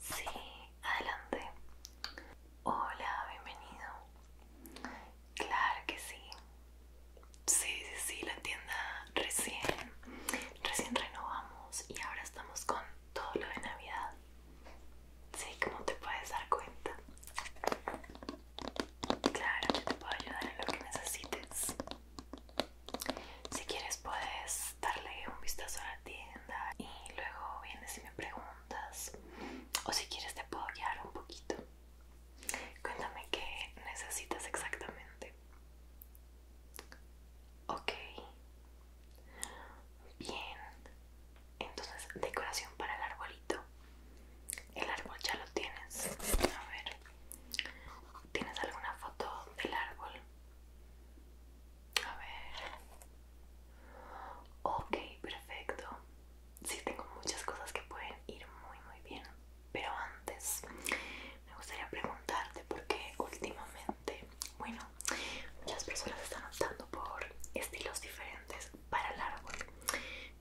Sí, adelante. Hola, bienvenido. Claro que sí. Sí, sí, sí, la tienda recién, recién renovamos y ahora estamos con todo lo de Navidad. Sí, ¿cómo te puedes dar cuenta. Claro, yo te puedo ayudar en lo que necesites. Si quieres puedes darle un vistazo a la tienda y luego vienes y me preguntas. O si quieres te puedo guiar un poquito. Cuéntame qué necesitas exactamente. Ok. Bien entonces decoración para el arbolito el árbol ya lo tienes a ver tienes alguna foto del árbol a ver ok perfecto sí tengo muchas cosas que pueden ir muy muy bien pero antes me gustaría preguntarte porque últimamente bueno muchas personas están optando por estilos diferentes para el árbol,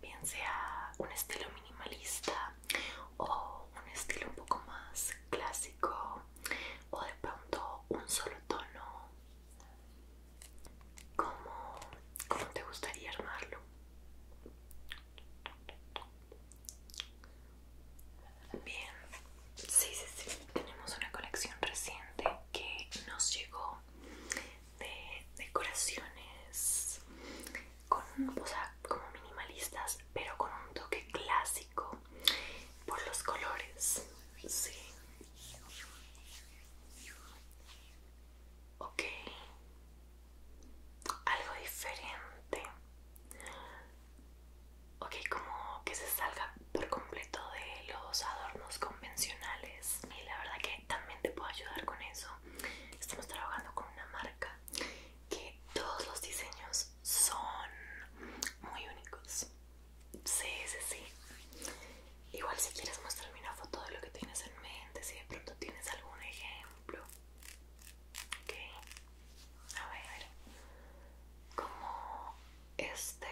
bien sea un estilo minimalista o un estilo un poco más clásico o de pronto un solo tono. como... te gustaría armarlo? Bien, sí, sí, sí. Tenemos una colección reciente que nos llegó de decoraciones con, o sea, como minimalistas, pero con un toque clásico por los colores. Ok. Algo diferente. Ok, como que se salga por completo de los adornos convencionales. Pues, y la verdad que también te puedo ayudar con eso. Estamos trabajando con una marca que todos los diseños son muy únicos. Sí, sí, sí. Igual si quieres mostrarme una foto de lo que tienes en mente, si de pronto tienes algún ejemplo. Ok. A ver. Como este.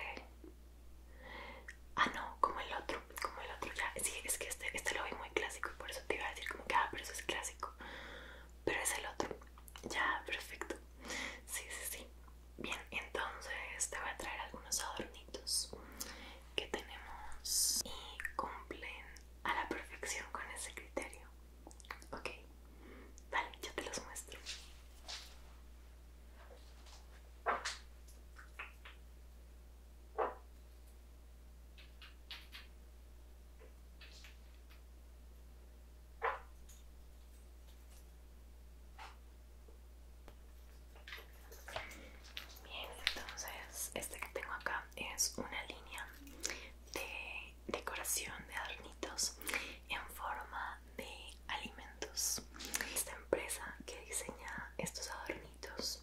Ah, no, como el otro, como el otro ya. Sí, es que este, este, lo vi muy clásico y por eso te iba a decir como que, ah, pero eso es clásico. Pero es el otro. Ya, perfecto. Sí, sí, sí. Bien, entonces te voy a traer algunos adornitos que tenemos y cumplen a la perfección con ese criterio. Ok, vale, yo te los muestro. Bien, entonces este que tengo acá es una línea de decoración de adornitos en forma de alimentos. Esta empresa que diseña estos adornitos,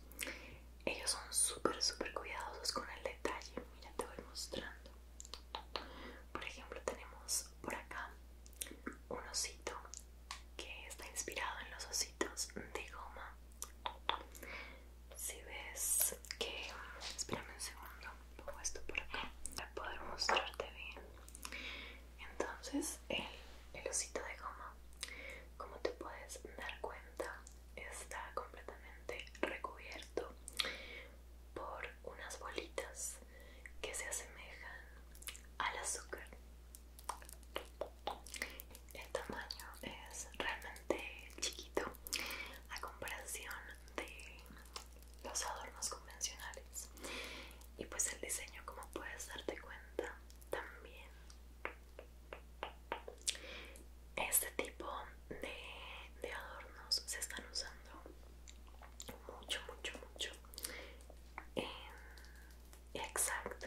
ellos son súper, súper cuidadosos con el detalle. Mira, te voy mostrando. Por ejemplo, tenemos por acá un osito que está inspirado en los ositos de goma. Si ves que. Espérame un segundo, pongo esto por acá para poder mostrarte bien. Entonces el, osito de goma, como te puedes dar cuenta, está completamente recubierto por unas bolitas que se asemejan al azúcar. El tamaño es realmente chiquito a comparación de los adornos convencionales. Y pues el diseño, como puedes darte cuenta, también este tipo de, adornos se están usando mucho mucho mucho en, exacto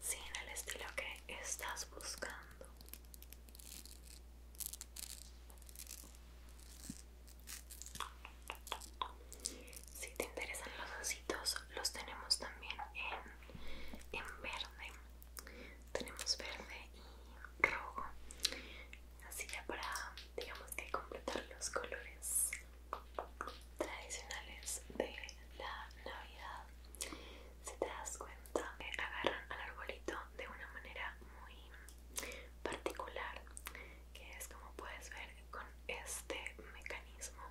sin en el estilo que estás buscando si te interesan los ositos, los tenemos también en, verde. Tenemos verde y rojo. Así ya para, digamos que completar los colores tradicionales de la Navidad. Si te das cuenta, eh, agarran al arbolito de una manera muy particular que es como puedes ver con este mecanismo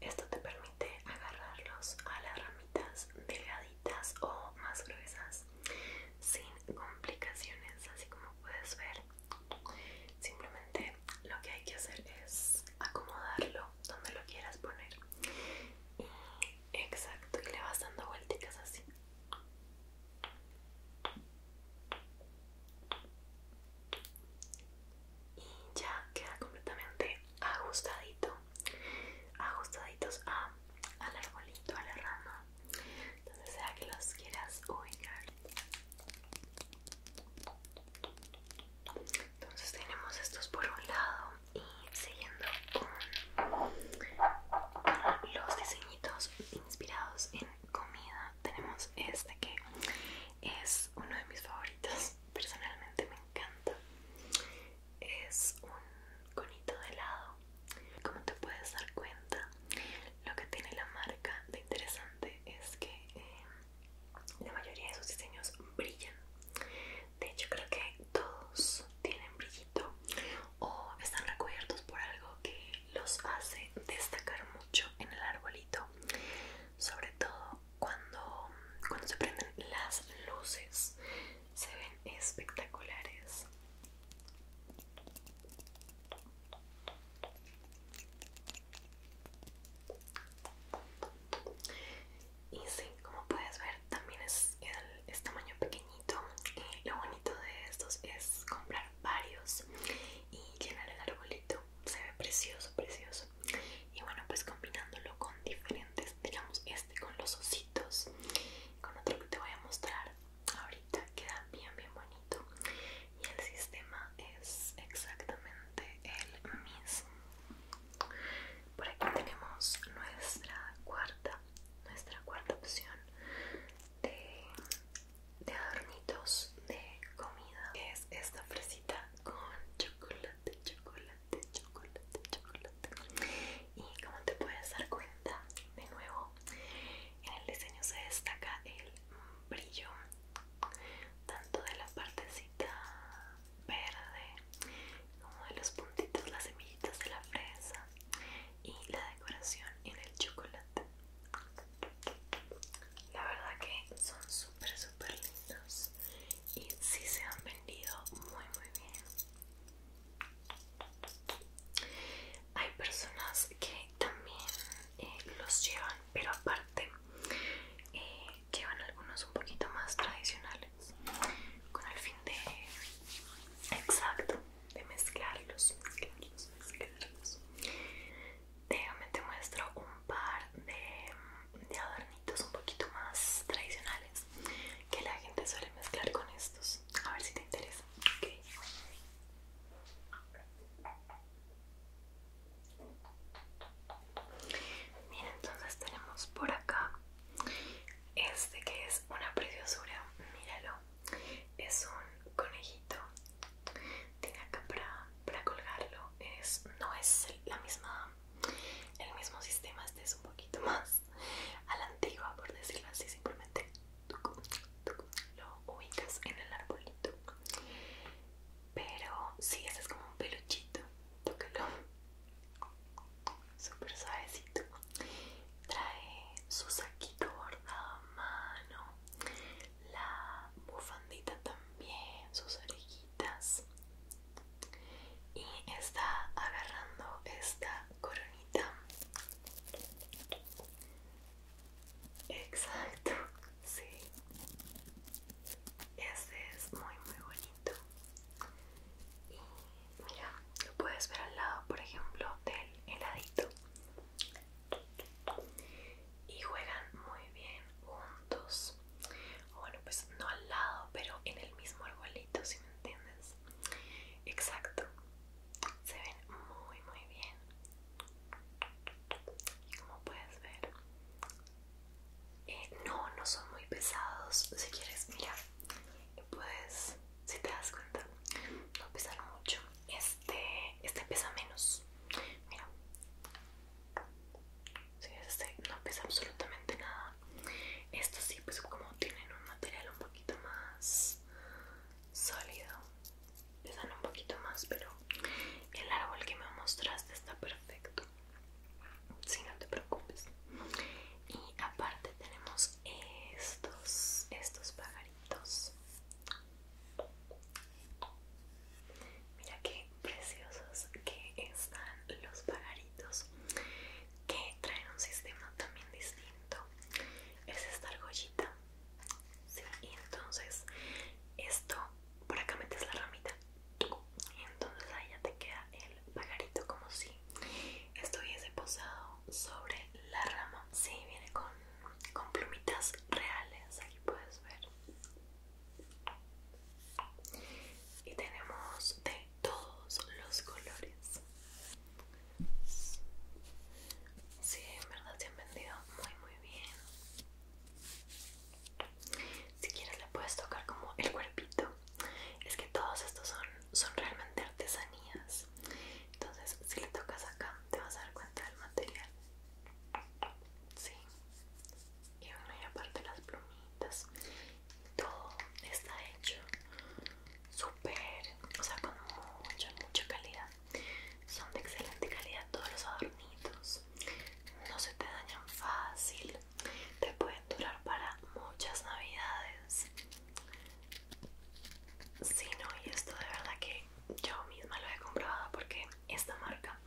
esto te permite agarrarlos a las ramitas delgaditas o más gruesas sin complicaciones así como puedes ver simplemente lo que hay que hacer es acomodarlo donde lo quieras poner exacto y le vas dando vueltas así y ya queda completamente ajustadito ajustaditos a, al arbolito, a la rama donde sea que los quieras ubicar entonces tenemos estos por un lado y siguiendo con los diseñitos inspirados en comida tenemos este que es uno de mis favoritos personalmente me encanta es un conito de helado como te puedes dar cuenta lo que tiene la marca de interesante es que eh, la mayoría de sus diseños brillan de hecho creo que todos tienen brillito o están recubiertos por algo que los hace destacar mucho en el arbolito sobre todo cuando, cuando se prenden las luces se ven espectaculares y sí, como puedes ver también es, el, tamaño pequeñito lo bonito de estos es comprar varios y llenar el arbolito se ve precioso, precioso. Y bueno, pues combinándolo con diferentes, digamos, este con los ositos, con otro que te voy a mostrar ahorita, queda bien, bien bonito. Y el sistema es exactamente el mismo. Por aquí tenemos nuestra cuarta, nuestra cuarta opción de de adornitos de comida que es esta fresita con chocolate, chocolate, chocolate, chocolate y como te puedes dar cuenta de nuevo en el diseño se destaca el brillo tanto de la partecita verde como de los puntitos, las semillitas de la fresa y la decoración en el chocolate la verdad que son súper, super lindos y sí se han vendido muy, muy bien. Hay personas que también eh, los llevan, pero aparte eh, llevan algunos un poquito más tradicionales con el fin de, exacto, de mezclarlos, mezclarlos te muestro un par de, adornitos un poquito más tradicionales que la gente suele mezclar con estos. A ver si te interesa. Mira, entonces tenemos por acá este que es una preciosura. Míralo. Es un conejito tiene acá para, colgarlo es, no es la misma el mismo sistema este es un poquito más a la antigua por decirlo así simplemente lo ubicas en el arbolito pero sí este es como un peluchito tócalo súper suavecito trae su saquito bordado a mano la bufandita también, sus orejitas. Y está agarrando esta coronita. Exacto, sí. Este es muy, muy bonito. Y mira, lo puedes ver al lado, por ejemplo, del heladito y juegan muy bien juntos bueno pues no al lado pero en el mismo arbolito si me entiendes exacto se ven muy muy bien como puedes ver eh, no no son muy pesados si quieres mirar, puedes si te das cuenta no pesan mucho este, este pesa menos. Mira, si este no pesa absolutamente nada. Estos sí, pues como tienen un material un poquito más sólido, pesan un poquito más, pero el árbol que me mostraste está perfecto. Si no te preocupes. Y aparte tenemos estos, estos pagaritos Mira qué preciosos que están los pagaritos que traen un sistema también distinto. Es esta argollita. Sí, y entonces esto, por acá metes la ramita. Y entonces ahí ya te queda el pagarito como si estuviese posado sobre la rama. Sí, viene con, con plumitas reales. Aquí puedes ver y tenemos de todos los colores Sí, en verdad se han vendido muy muy bien Si quieres le puedes tocar como el cuerpito Es que todos estos son, son realmente artesanías Entonces si le tocas acá te vas a dar cuenta del material Sí y bueno y aparte las plumitas todo está hecho súper o sea con mucha mucha calidad son de excelente calidad todos los adornitos no se te dañan fácil te pueden durar para muchas navidades si no y esto de verdad que yo misma lo he comprobado porque esta marca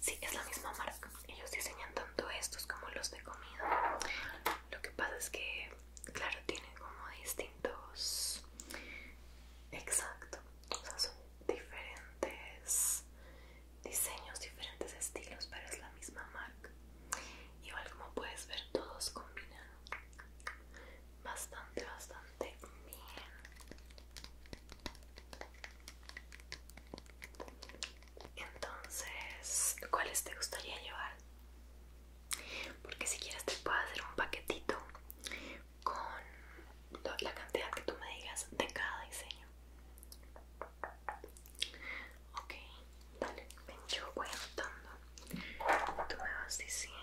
Sí, es la misma marca Ellos diseñan tanto estos como los de comida Lo que pasa es que, claro, tienen como distintos Exacto O sea, son diferentes diseños, diferentes estilos Pero es la misma marca Igual como puedes ver, todos combinan bastante, bastante bien entonces, ¿cuáles te gustaría llevar? Porque si quieres te puedo hacer un paquetito con la cantidad que tú me digas de cada diseño. Ok, dale, ven yo voy anotando. Tú me vas diciendo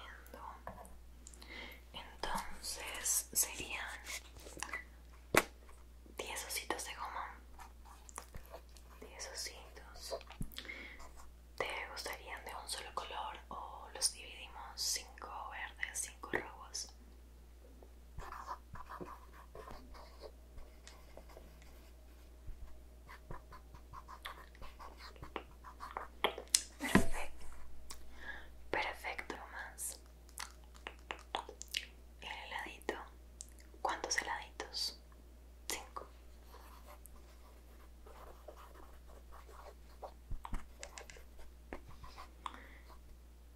entonces serían 10 ositos de goma. 10 ositos. ¿Te gustarían de un solo color o los dividimos 5 verdes, 5 rojos? Perfecto, perfecto más el heladito ¿cuántos heladitos? cinco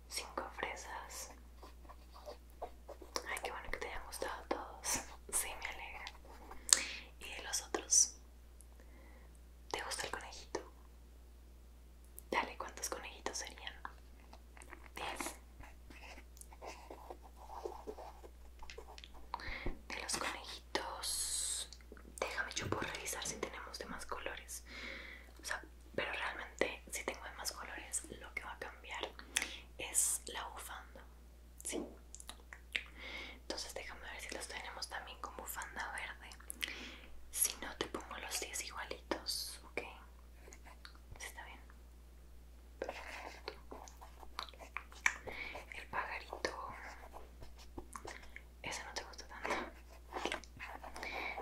cinco fresas ay qué bueno que te hayan gustado todos sí me alegra y de los otros ¿te gusta el conejito? Dale, ¿cuántos conejitos serían? 10. De los conejitos... Déjame, yo por revisar si tenemos de más colores. O sea, pero realmente si tengo de más colores, lo que va a cambiar es la bufanda. Sí. Entonces déjame ver si los tenemos también con bufanda verde. Si no, te pongo los 10 igualitos, ¿ok? ¿Está bien? Perfecto. El pagarito, Ese no te gusta tanto. Vale,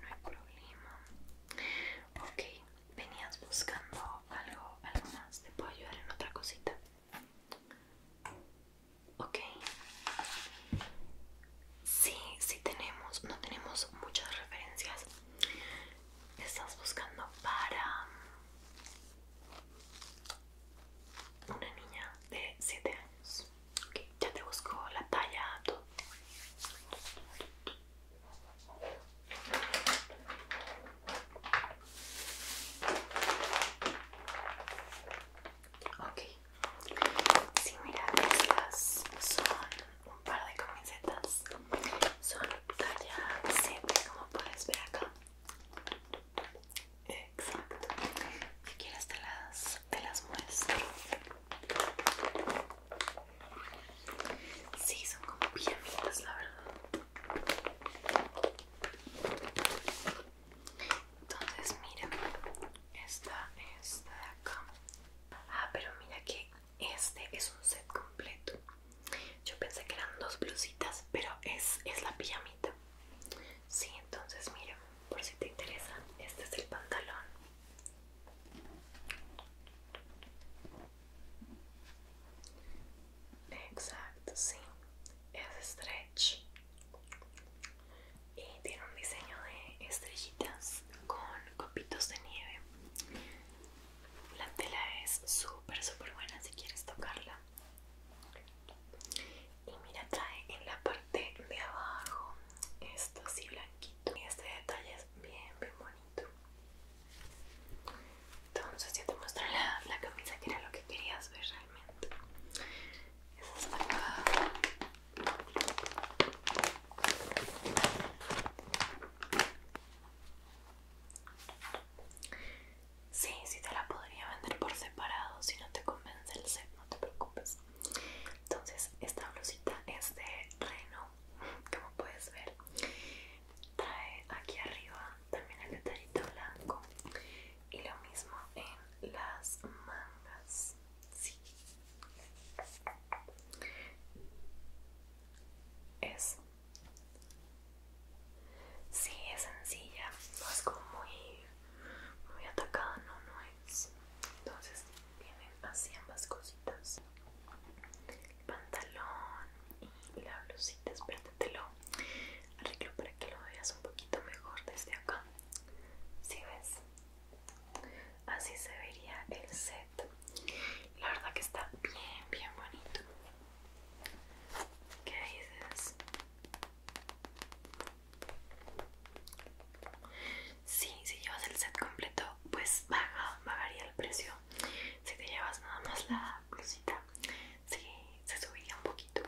no hay problema. Ok, venías buscando algo, algo más. ¿Te puedo ayudar en otra cosita? Ok. Sí, sí tenemos, no tenemos muchas referencias. Estás buscando para una niña de 7 años. Ok, ya te busco la talla, todo. Ok, si mira, estas son un par de camisetas. Son talla 7 como puedes ver acá. Exacto. Si quieres te las, muestro. Sí, son como bonitas la verdad. Entonces, mira, esta esta de acá. Ah, pero mira que este es un set completo. Yo pensé que eran dos blusitas, pero es, es la pijamita. Sí, entonces, mira, por si te interesa, este es el pantalón. Exacto, sí. Es stretch y eh, tiene un diseño de estrellitas con copitos de nieve la tela es súper súper buena si quieres tocarla y mira trae en la parte de abajo esto así blanquito y este detalle es bien bien bonito entonces ya te muestro la, camisa que era lo que querías ver realmente esa es acá Sí, sí te la podría vender por separado Si no te convence el set, no te preocupes Entonces, esta blusita es de Reno Como puedes ver Trae aquí arriba también el letarito blanco Y lo mismo en las mangas Sí. es Sí, es sencilla. No es como muy, muy atacada, no, no es. Entonces vienen así ambas cositas. El pantalón y la blusita. Espérate, arreglo para que lo veas un poquito mejor desde acá. Si ves, Así se vería el set. La verdad que está bien, bien bonito. ¿Qué dices? Sí, si llevas el set completo, pues baja, bajaría el precio. Si te llevas nada más la blusita, sí, se subiría un poquito.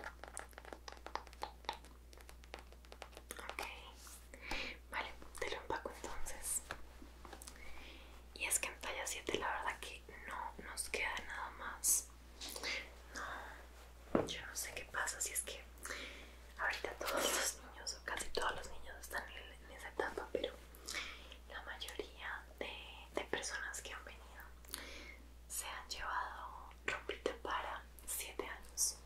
Ok, vale, te lo empaco entonces. Y es que en talla 7 la verdad que no nos queda nada más. No, yo no sé qué pasa si es que ahorita todos los niños o casi todos los niños están en, esa etapa, pero la mayoría de, de personas que han venido se han llevado rompita para 7 años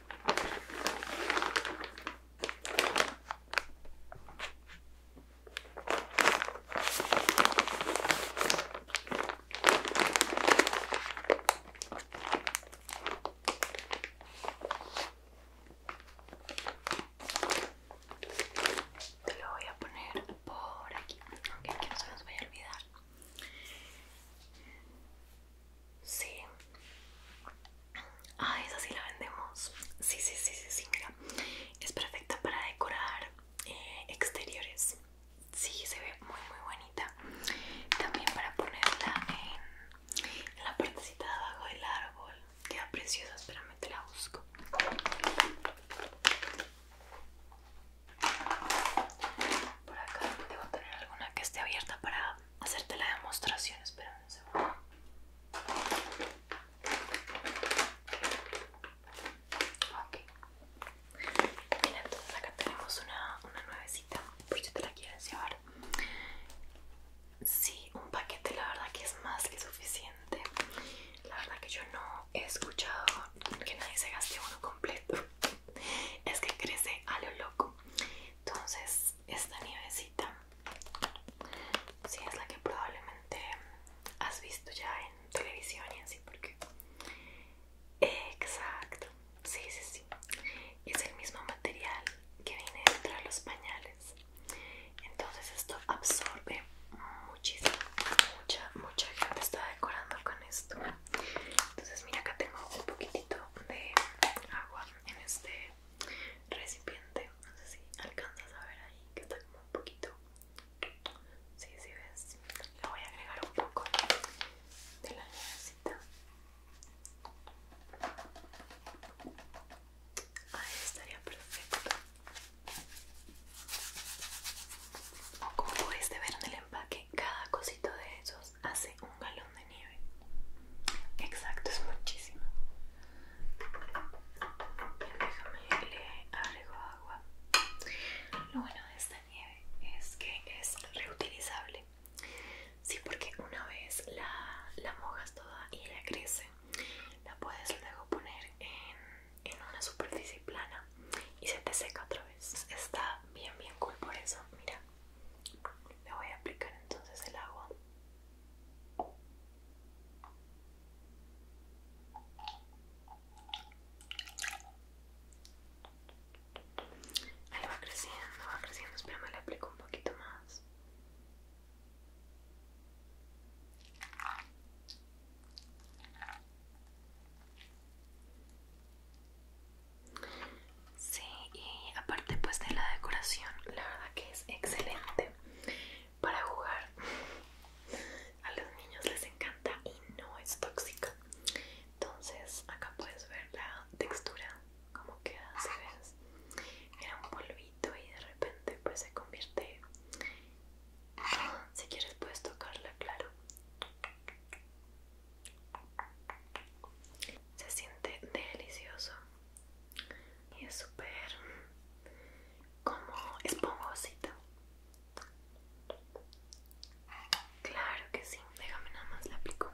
lo voy a poner por aquí, aunque que no se nos vaya a olvidar. Sí. Ah, esa sí la vendemos. Sí, sí, sí, sí, sí, Es perfecta para decorar eh, exteriores. Sí, se ve muy, muy bonita. También para ponerla en, la partecita de abajo del árbol. Queda preciosa, espérame, te la busco. Por acá debo tener alguna que esté abierta para hacerte la demostración. Espérame un segundo. Ok. Mira, entonces acá tenemos una, una nuevecita, por yo te la quiero llevar. Sí, un paquete la verdad que es más que suficiente. La verdad que yo no he escuchado que nadie se gaste uno completo. Es que crece a lo loco entonces esta nievecita si es la que probablemente has visto ya en televisión y así porque exacto sí sí sí es el mismo material que viene dentro de los pañales entonces esto absorbe muchísimo mucha mucha gente está decorando con esto entonces mira acá tengo un poquitito de agua en este recipiente no sé si alcanzas a ver ahí que está como un poquito si sí, sí ves le voy a agregar un poco de la llavecita ahí estaría perfecto como puedes ver en el empaque cada cosito de esos hace un galón de nieve. Exacto, es muchísimo. Bien, déjame le agrego agua. Lo bueno de esta nieve es que es reutilizable. Sí, porque una vez la, mojas toda y la crece, la puedes luego poner en, en una superficie plana y se te seca otra vez. Está bien, bien cool por eso. Mira, le voy a aplicar entonces el agua Ahí va creciendo, va creciendo, espera me le aplico un poquito más Sí, y aparte pues de la decoración, la verdad que es excelente para jugar. A los niños les encanta y no es tóxica. Entonces acá puedes ver la textura, como queda, si ves. Era un polvito y de repente pues se convierte... Si quieres puedes tocarla, claro se siente delicioso y es súper como esponjosito claro que sí déjame nada más le aplico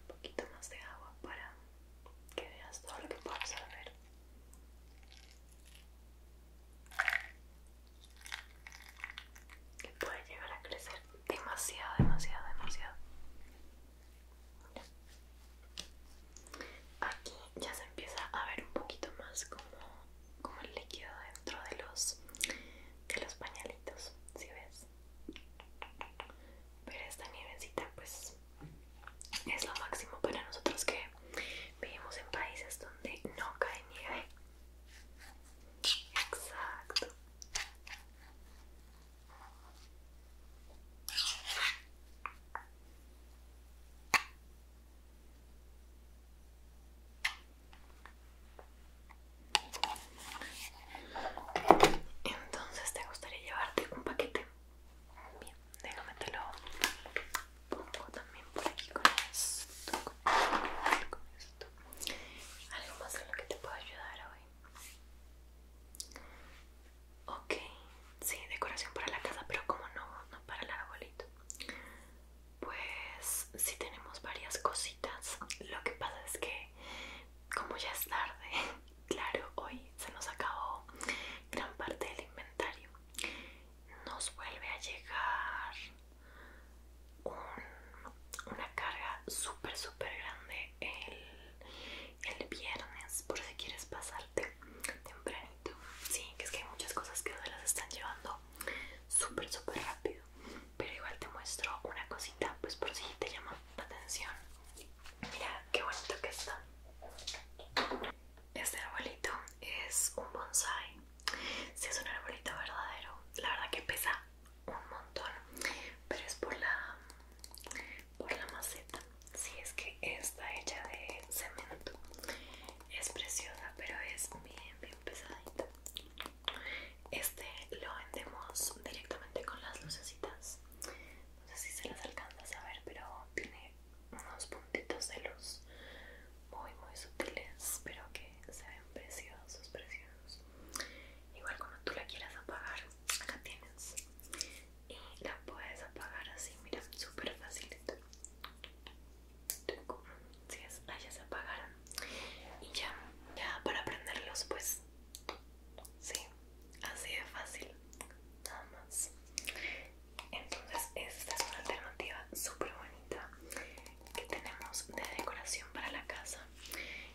un poquito más de agua para que veas todo lo que puedo absorber que puede llegar a crecer demasiado, demasiado, demasiado. Aquí ya se empieza a ver un poquito más como, como el líquido dentro de los, de los pañalitos, si ¿sí ves. Pero esta nievecita pues es lo máximo para nosotros que vivimos en países donde no cae nieve. Exacto. Entonces te gustaría llevarte un paquete. Bien, déjame te lo pongo también por aquí con esto. Algo más en lo que te puedo ayudar hoy. Ok, sí, decoración para la casa, pero como no, no para el arbolito. Pues sí tenemos varias cositas. Lo que pasa es que como ya es tarde, claro, hoy se nos acabó gran parte del inventario. Nos vuelve a llegar una carga súper, súper grande el, viernes por si quieres pasarte tempranito. Sí, que es que hay muchas cosas que se las están llevando súper, súper rápido. Pero igual te muestro una cosita, pues por si te llama la atención. Mira qué bonito que está. Este arbolito es un bonsai. Si es un arbolito verdadero, la verdad que pesa un montón pero es por la por la maceta si es que está hecha de cemento es preciosa pero es bien bien pesadita este lo vendemos directamente con las lucecitas no sé si se las alcanzas a ver pero tiene unos puntitos de luz muy muy sutiles pero que se ven preciosos preciosos igual cuando tú la quieras apagar acá tienes y la puedes apagar así mira súper fácil si ah, ya se apagaron y ya ya para prenderlos pues sí así de fácil nada más entonces esta es una alternativa súper bonita que tenemos de decoración para la casa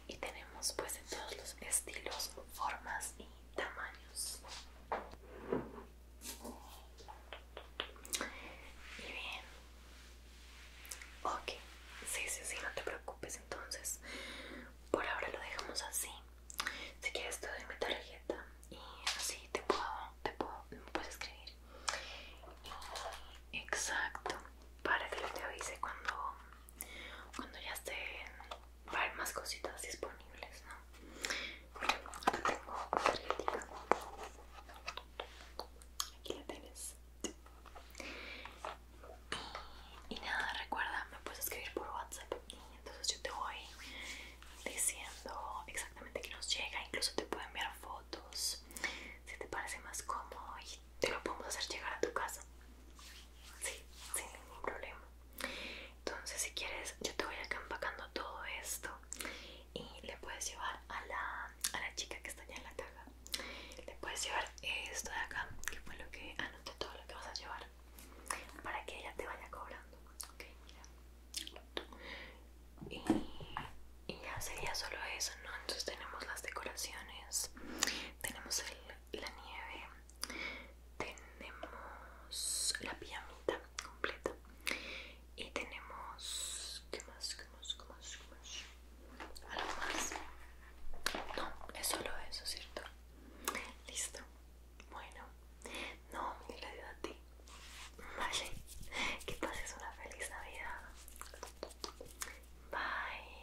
y tenemos pues de todos los estilos, formas y tamaños. Y bien. Ok, sí, sí, sí, no te preocupes entonces. Por ahora lo dejamos así. Si quieres todo doy mi tarjeta y así te puedo, te puedo, puedes escribir. exacto, para que te avise cuando cuando ya estén para más cositas disponibles, ¿no? Aquí la tienes. Y, nada, recuerda, me puedes escribir por WhatsApp. Y entonces yo te voy diciendo exactamente que nos llega. Incluso te puedo enviar fotos si te parece más cómodo y te lo podemos hacer llegar a tu casa. Sí, sin ningún problema. Entonces, si quieres, yo te voy acá empacando todo esto y le puedes llevar a la, chica que está allá en la caja. Le puedes llevar esto de acá, que fue lo que anoté todo lo que vas a llevar, para que ella te vaya cobrando. Ok, mira. Y, y ya sería solo eso, ¿no? Entonces tenemos las decoraciones, tenemos el la nieve tenemos la pijamita completa y tenemos ¿qué más? ¿qué más? ¿qué más? ¿qué más? ¿algo más? no, es solo eso, ¿cierto? listo, bueno no, mil gracias a ti vale, que pases una feliz navidad bye